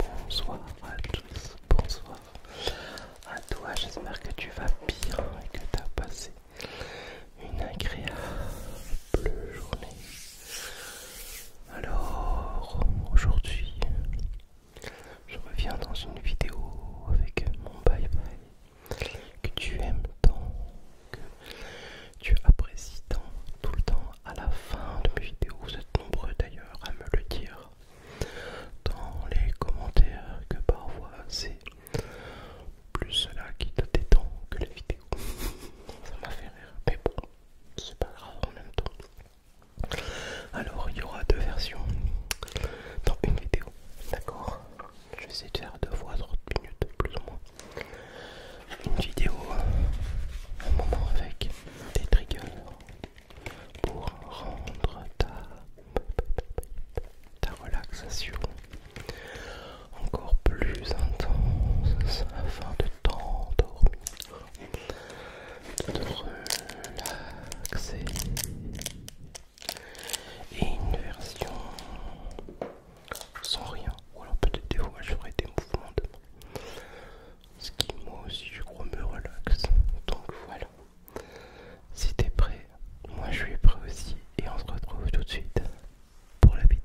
bonsoir à tous, bonsoir à toi, j'espère que tu vas bien et que tu as passé une agréable journée. Alors, aujourd'hui, je reviens dans une vidéo avec mon bye bye que tu aimes tant, que tu apprécies tant, tout le temps à la fin de mes vidéos. Vous êtes nombreux d'ailleurs à me le dire dans les commentaires que parfois c'est plus cela qui te détend que les vidéos. Ça m'a fait rire, mais bon, c'est pas grave en même temps. Alors, il y aura deux versions dans une vidéo, d'accord Je vais essayer de faire deux fois 30 minutes, plus ou moins. Une vidéo, un moment avec des triggers pour rendre ta, ta relaxation encore plus intense afin de t'endormir de relaxer et une version sans rien ou alors peut-être des fois je ferai des mouvements de ce qui moi aussi je crois me relaxe donc voilà si t'es prêt moi je suis prêt aussi et on se retrouve tout de suite pour la vidéo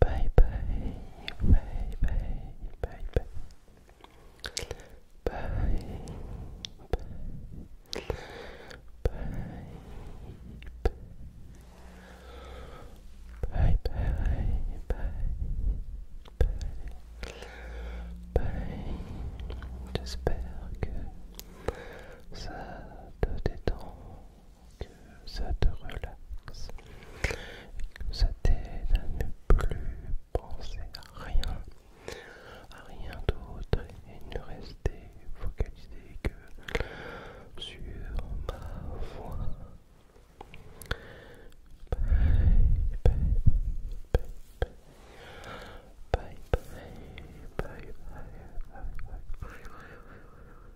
Bye bye, bye bye, bye bye. Bye, bye, bye, bye, bye, bye, bye, bye. J'espère que ça te détend que ça te relaxe, que ça t'aide à ne plus penser à rien, à rien d'autre et ne rester focalisé que sur ma voix.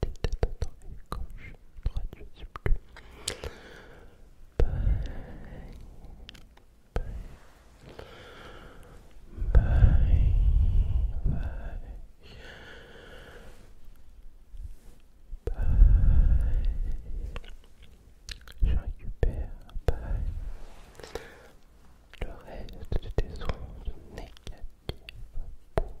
tête à gauche, droite, je ne sais plus. Bye. Bye. Bye. Bye. Bye. Je récupère bye. le reste de tes ondes négatives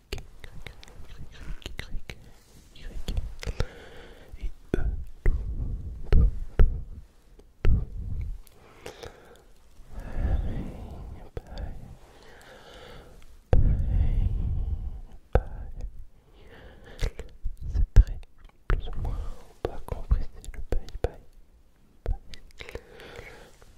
et C'est très plus ou moins on le bye.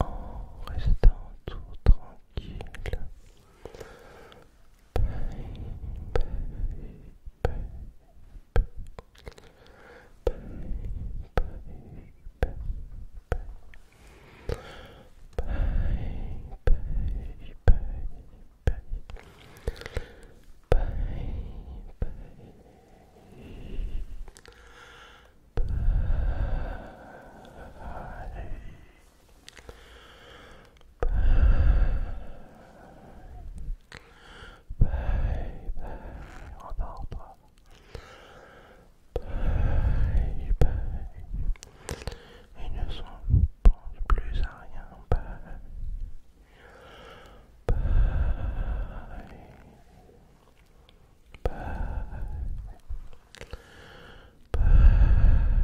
En restant tout tranquille. Bye, bye, bye, bye. Bye, bye. Bye. Bye. Bye. Bye. On Bye bye. Il ne s'en pense plus à rien. Bye. Bye. Bye. Bye. Bye.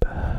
Bye.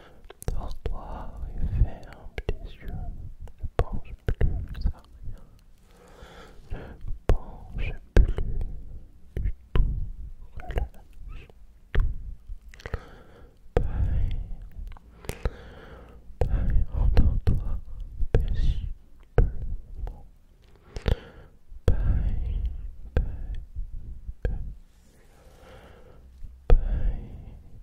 Devant toi et ferme les yeux. Ne penche plus à rien. Ne penche plus du tout. Relâche tout. Pareil. Pareil, entends-toi paisiblement. Pareil, pareil, pareil. Pareil,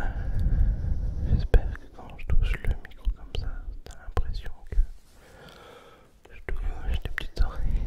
Euh, j'espère que quand je touche le micro comme ça, as l'impression que je touche des petites oreilles.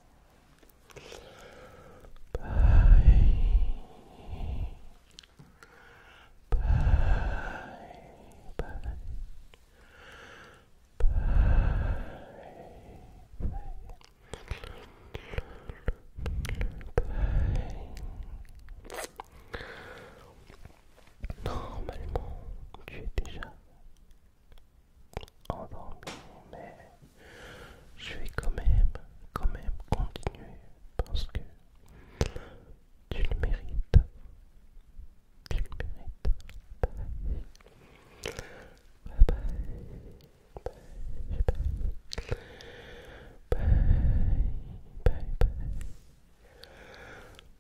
Normalement, tu es déjà dormir, mais je vais quand même, quand même continuer parce que tu le mérites. Tu le mérites.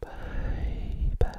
bye.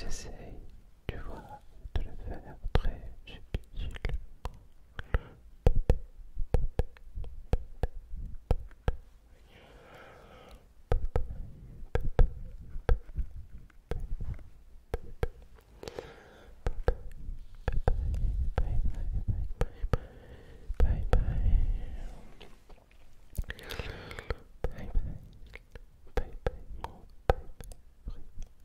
J'essaie, tu vois, de le faire très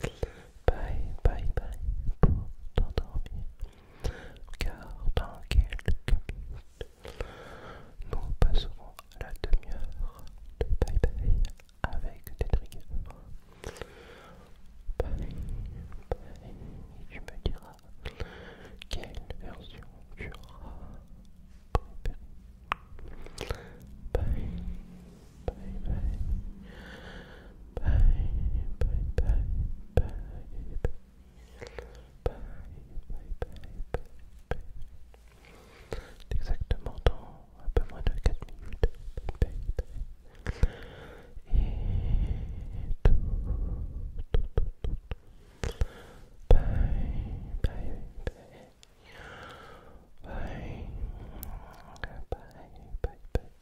Bye, bye, bye pour t'endormir, car dans quelques minutes, nous passerons à la demi-heure de bye bye avec des triggers. Bye, bye, tu me diras quelle version tu auras préférée. Bye, bye bye bye bye bye bye bye bye bye bye bye exactement dans un peu moins de 4 minutes bye bye bye et tout tout tout tout bye bye bye Bye. Bye. Bye. Bye.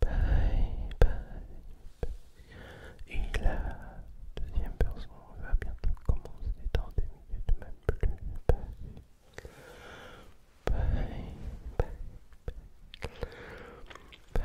Bye bye. Et la deuxième personne va bientôt commencer dans des minutes, même plus. Bye bye. Bye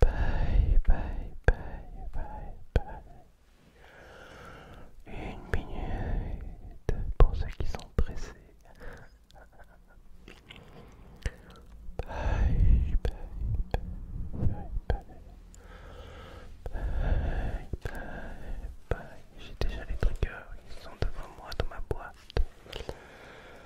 Bye, bye, bye, bye, bye. Une minute pour ceux qui sont pressés. Bye, bye, bye, bye, bye. J'ai déjà les triggers, ils sont devant moi dans ma boîte.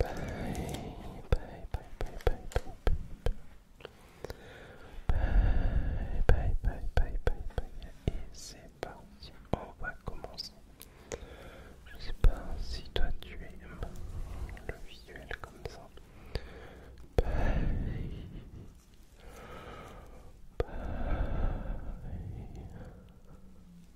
Bye, Et c'est parti, on va commencer. Je sais pas si toi tu aimes le visuel comme ça.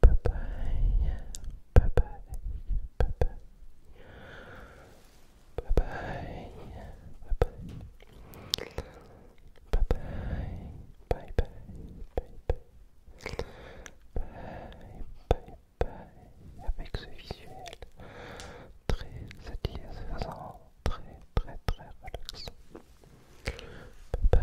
Bye bye. Bye bye. Bye bye. Bye bye. Bye bye. Bye bye. Bye bye. Bye bye. Bye Avec ce visuel très satisfaisant, très très très relaxant. Bye bye.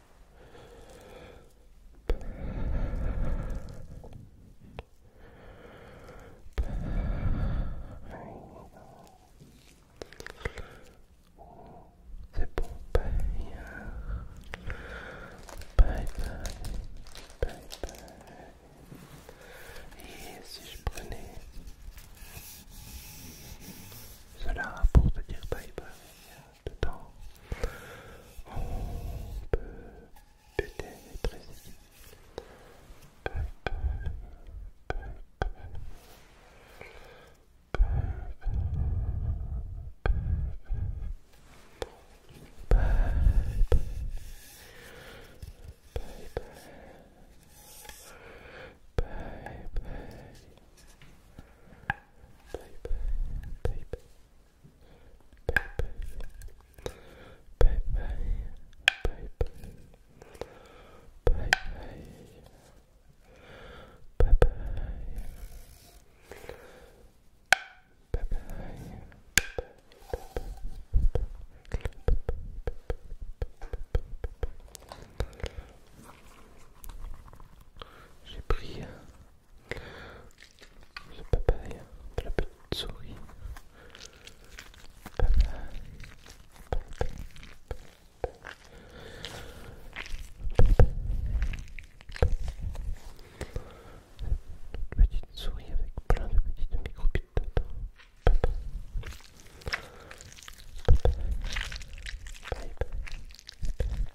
C'est bon, bye. Bye bye. Bye Et si je prenais cela pour te dire bye bye dedans. On peut j'ai pris papa la petite souris. petite souris avec plein de petites micro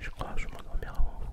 Je crois que je m'endormir avant vous.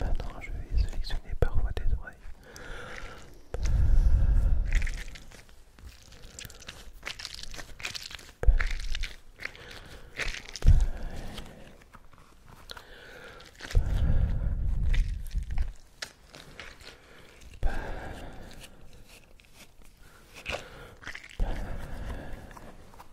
Maintenant, je vais sélectionner parfois des oreilles.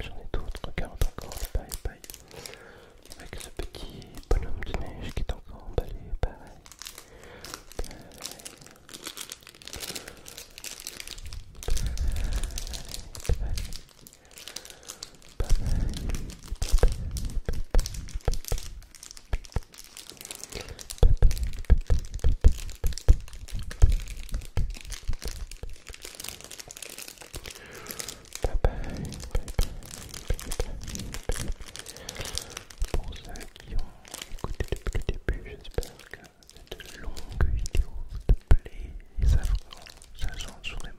J'en ai d'autres, regarde encore paille, paille... avec ce petit bonhomme de neige qui est encore emballé, Paille, paille, paille... Bye bye. Pour ceux qui ont écouté depuis le début, j'espère que de longue vidéo de plaît et ça change vraiment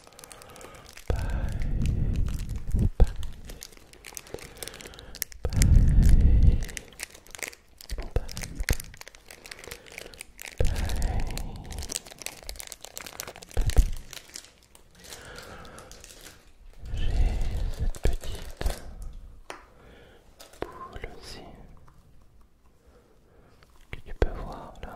J'ai cette petite boule aussi que tu peux voir là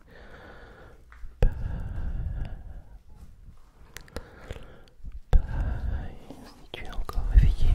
si tu es encore réveillé.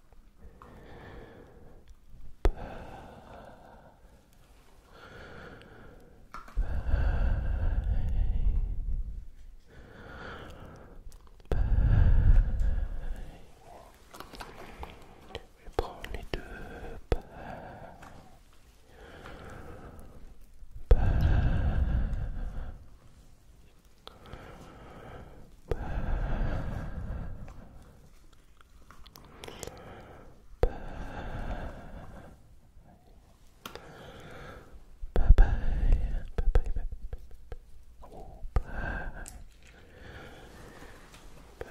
Peur. les deux Bye bye. Bye bye. Bye bye. Oh, bye. Bye. Bye.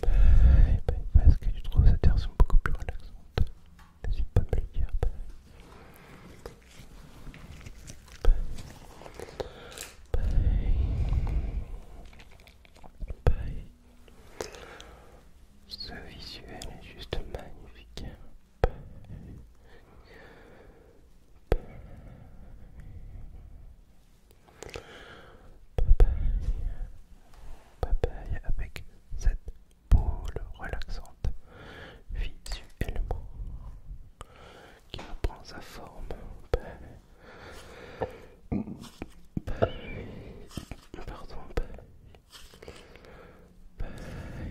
parce que tu trouves cette version beaucoup plus relaxante. N'hésite pas à me le dire. Ce visuel est juste magnifique. Papaye. avec cette boule relaxante visuellement qui reprend sa forme. Pardon. Papaye. Papaye.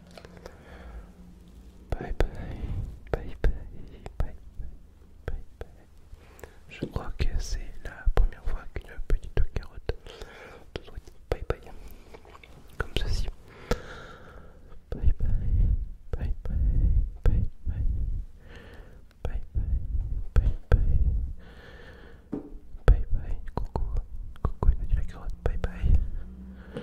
Bye bye, bye bye, bye bye, bye Je crois que c'est la première fois qu'une petite carotte te bye bye, comme ceci. Bye bye, bye bye, bye bye, bye bye, bye bye, bye bye, coucou, coucou, il a la carotte, bye bye.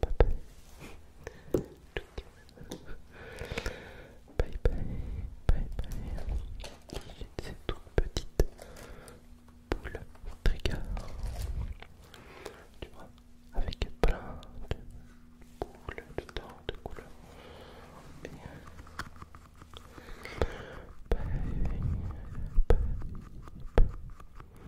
bye bye bye bye bye bye. cette toute petite boule trigger tu vois avec plein de boules dedans de couleurs et bye bye bye bye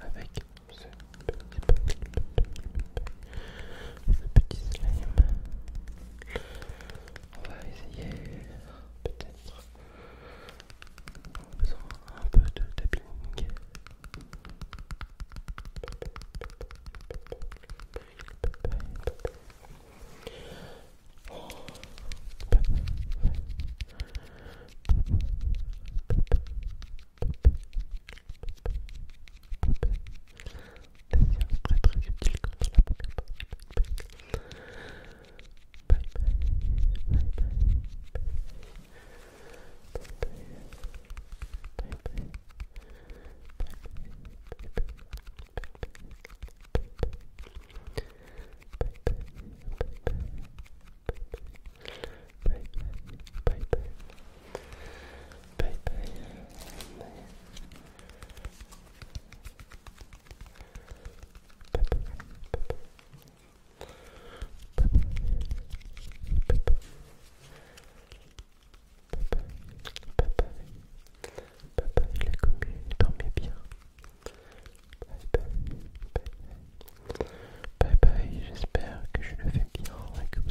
avec ce petit ce petit slime. On va essayer peut-être On a besoin un peu de tapping. Oh les c'est très très utile quand dans la bye bye, bye bye, bye bye, bye bye, bye bye, bye bye, bye bye il a bien. Bye bye, j'espère que je le fais bien et que vous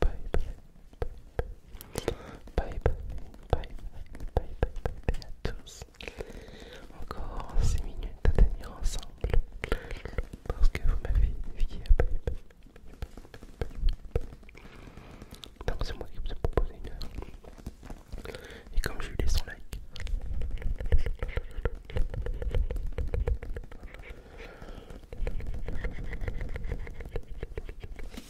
bye bye bye bye bye bye bye bye à tous. Encore 6 minutes à tenir ensemble parce que vous m'avez défié à bye bye. Donc c'est moi qui vous ai proposé Et comme je lui laisse un like.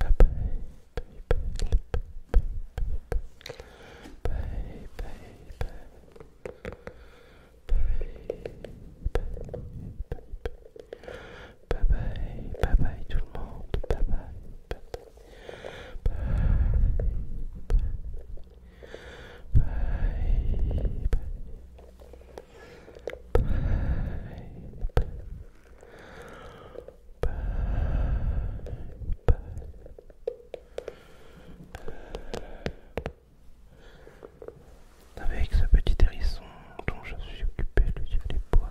Bye bye, tout le monde, avec ce petit hérisson dont je suis occupé, lui poils.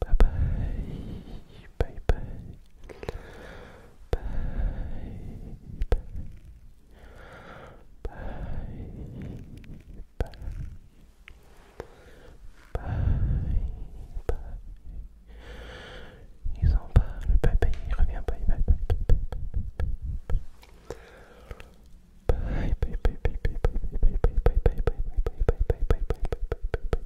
Bye bye. Bye bye. Bye bye. Bye bye. Bye bye. Ils en parlent. Bye bye. Il revient. Bye bye. Bye bye. Bye bye. Bye bye. Bye bye. Bye bye. Bye bye. Bye bye.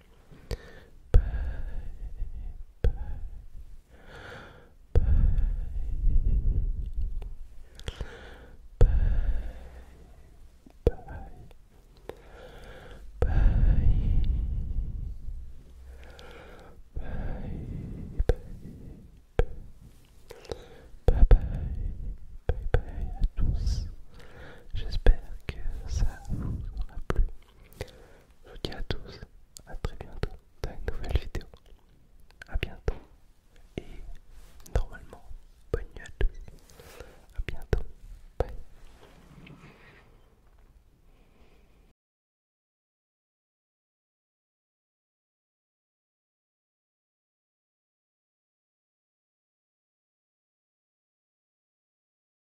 Bye, bye, bye, bye, bye, bye, bye, bye, bye, bye, bye à tous. J'espère que ça vous aura plu. Je vous dis à tous, à très bientôt dans une nouvelle vidéo. À bientôt et normalement bonne nuit à tous. À bientôt. Bye.